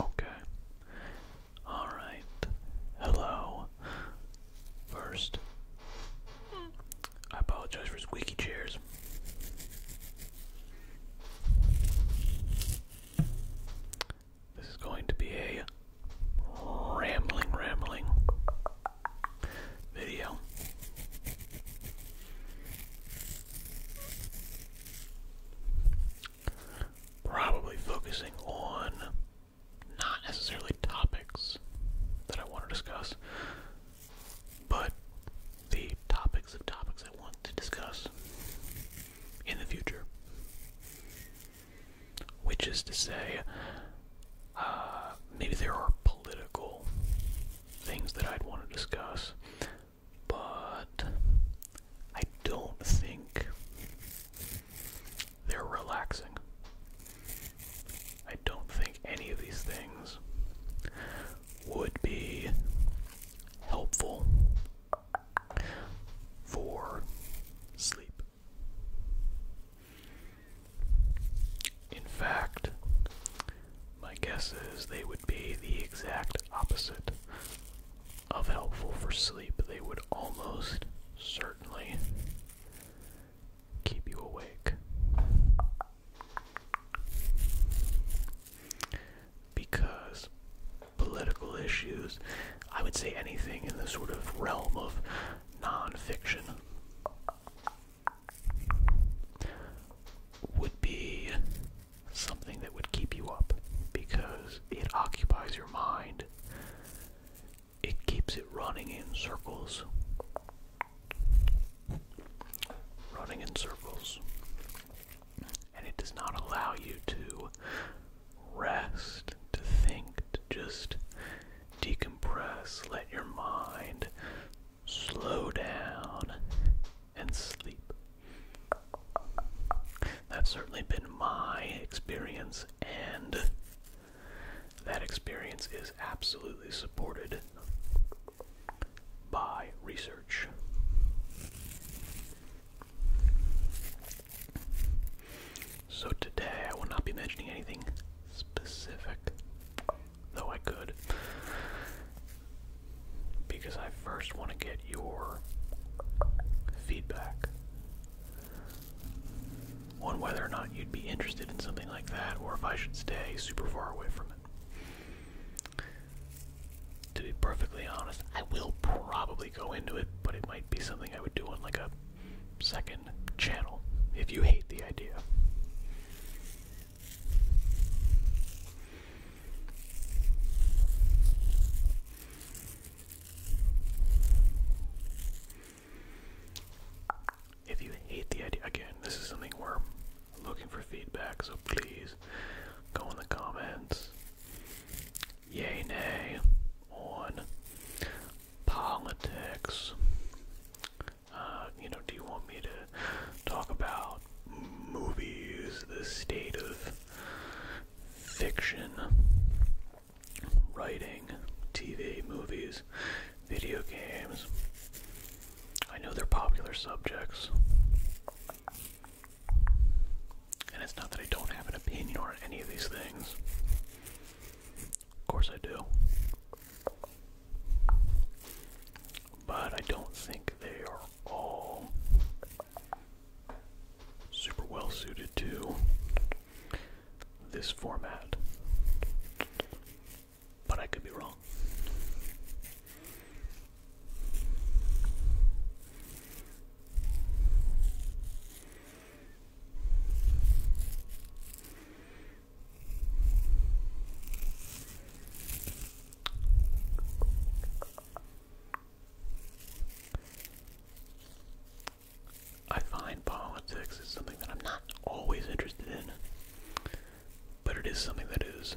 Okay. Alright. Hello. First, I apologize for squeaky chairs. This is going to be a rambling, rambling video probably focusing on not necessarily topics that I want to discuss, but the topics of topics I want to discuss in the future. Which is to say, uh, maybe there are political things that I'd want to discuss but I don't think they're relaxing. I don't think any of these things would be helpful for sleep. In fact, my guess is they would be the exact opposite of helpful for sleep. They would almost certainly keep you awake. Because political issues, I would say anything in the sort of realm of non-fiction would be something that would keep you up because it occupies your mind. It keeps it running in circles. Running in circles. And it does not allow you to rest, to think, to just decompress, let your mind slow down and sleep. That's certainly been my experience, and that experience is absolutely supported by research. So today I will not be mentioning anything specific though I could. Because I first want to get your feedback on whether or not you'd be interested in something like that or if I should stay super far away from it. To be perfectly honest, I will probably go into it, but it might be something I would do on like a second channel if you hate the idea. If you hate the idea, again, this is something we're looking for feedback, so please go in the comments. Yay, nay, on politics, uh, you know, do you want me to talk about movies, the state of fiction, writing, TV, movies, video games? I know they're popular subjects. And it's not that I don't have an opinion on any of these things. Of course I do. But I don't think they are all super well suited to this format. But I could be wrong. I find politics is something that I'm not always interested in, but it is something that is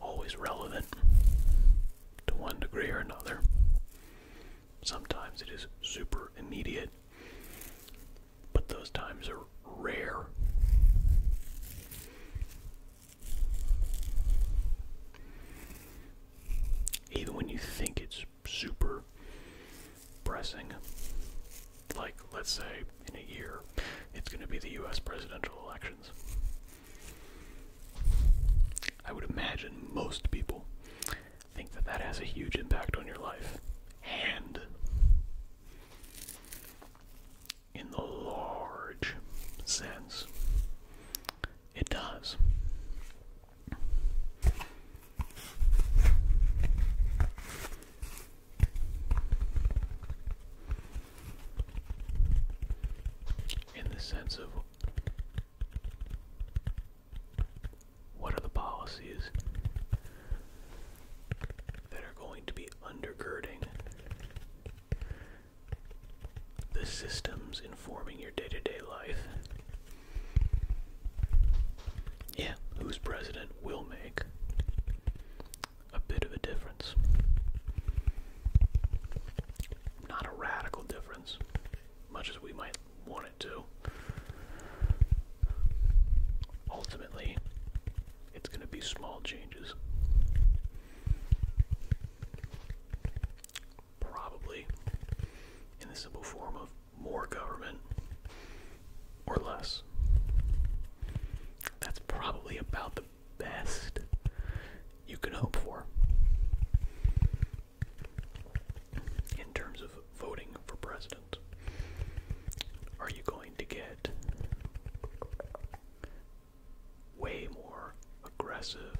always relevant to one degree or another. Sometimes it is super immediate, but those times are rare. Even when you think it's super pressing, like let's say in a year, it's going to be the US presidential elections. I would imagine most people think that that has a huge impact on your life. And in the large sense. It does. In the sense of what are the policies that are going to be undergirding the systems informing your day to day life? Yeah, who's president will make a bit of a difference. Not a radical difference, much as we might wanted to. Ultimately, it's going to be small changes. Probably in the simple form of more government or less. That's probably about the best you can hope for in terms of voting for president. Are you going to get way more aggressive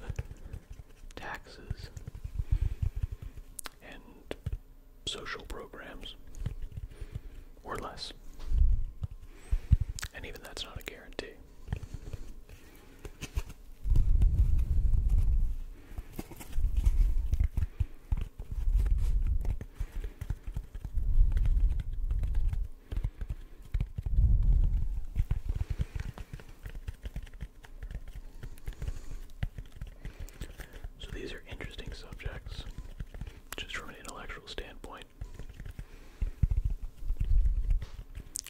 taxes and social programs or less? And even that's not a guarantee. So these are interesting subjects, just from an intellectual standpoint.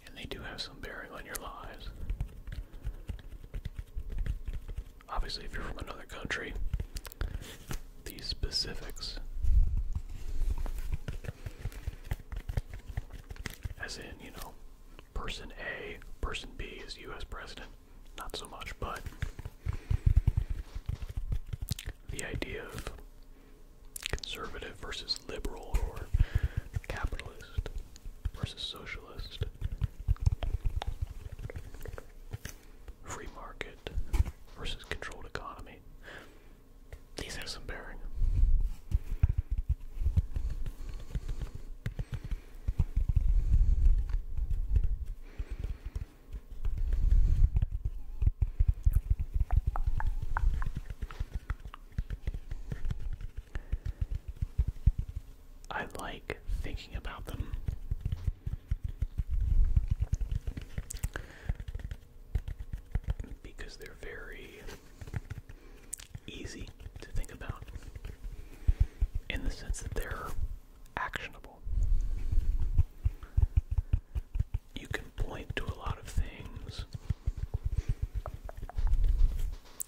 And they do have some bearing on your lives obviously if you're from another country, these specifics. As in, you know, person A, person B is US president. Not so much, but the idea of conservative versus liberal or capitalist versus socialist Free market versus controlled economy. These have some I like thinking about them. Because they're very easy to think about in the sense that they're actionable. You can point to a lot of things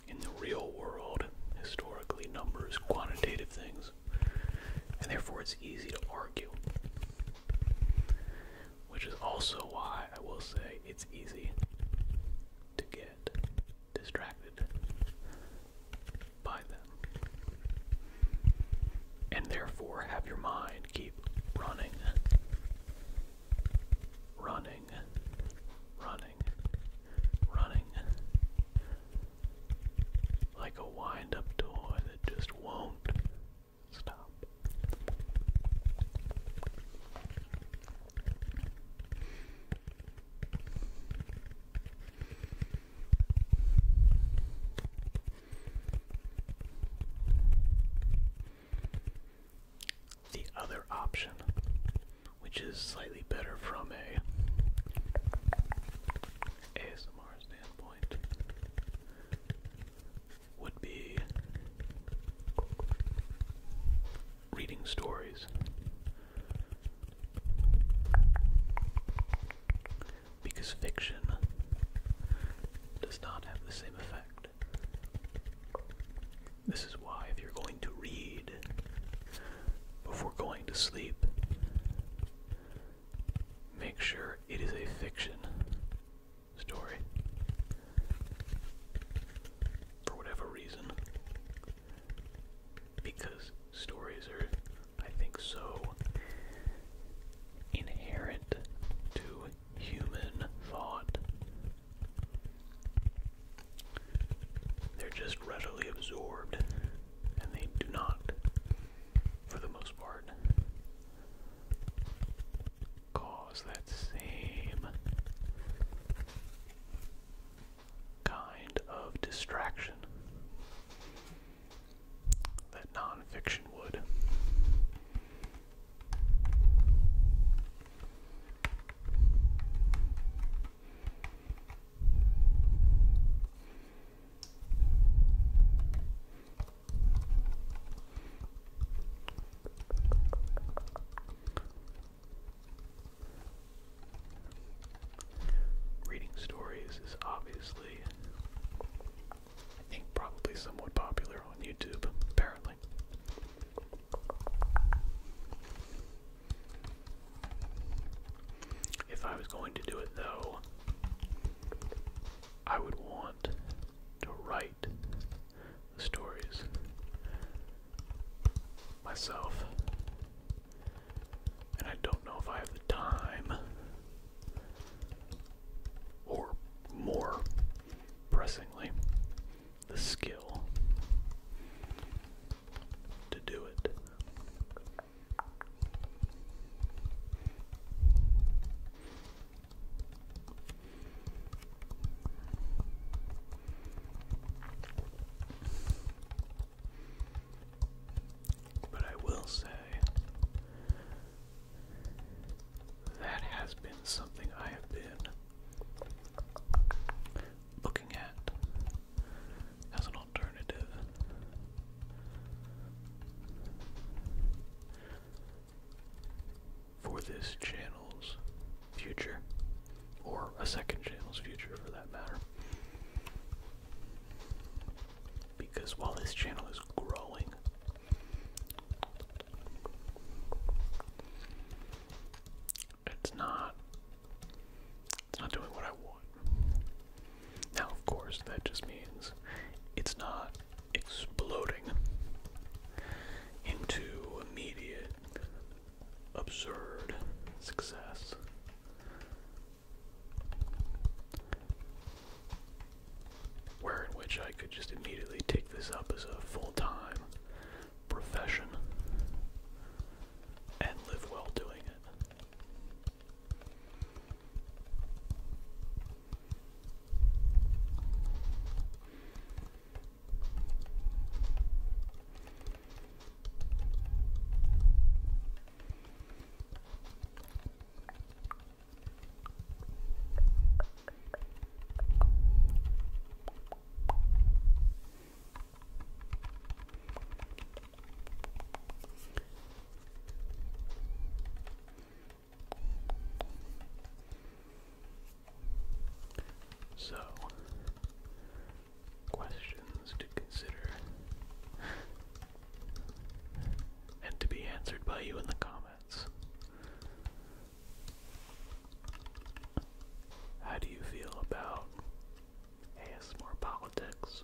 in the real world, historically, numbers, quantitative things, and therefore it's easy to argue. Which is also why I will say it's easy to get distracted by them. And therefore have your mind keep running running, running, running. Like a wind up toy that just won't stop the other option, which is slightly better from a ASMR standpoint, would be reading stories. Because fiction does not have the same effect. This is why, if you're going to read before going to sleep, make sure it is a fiction story. For whatever reason. Because stories are, I think, so inherent to human thought they're just readily absorbed and they do not, for the most part, cause that same kind of distraction that nonfiction would. Reading stories is obviously, I think, probably somewhat popular on YouTube, apparently. If I was going to do it though, I would want to write the stories myself. And I don't know if I have the time or more pressingly, the skill to do it. But I will say that has been something I have been looking at as an alternative. For this channel's future, or a second channel's future for that matter. Because while this channel is growing, it's not it's not doing what I want. Now of course that just means it's not exploding into immediate absurd success where in which I could just immediately take this up as a full-time profession and live well doing it. So, questions to consider and to be answered by you in the comments. How do you feel about ASMR politics?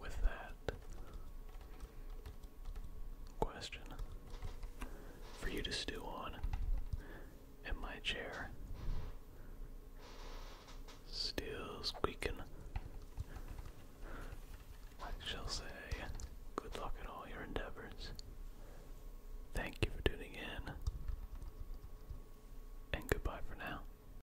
with that question for you to stew on in my chair. Still squeaking. I shall say, good luck in all your endeavors. Thank you for tuning in, and goodbye for now.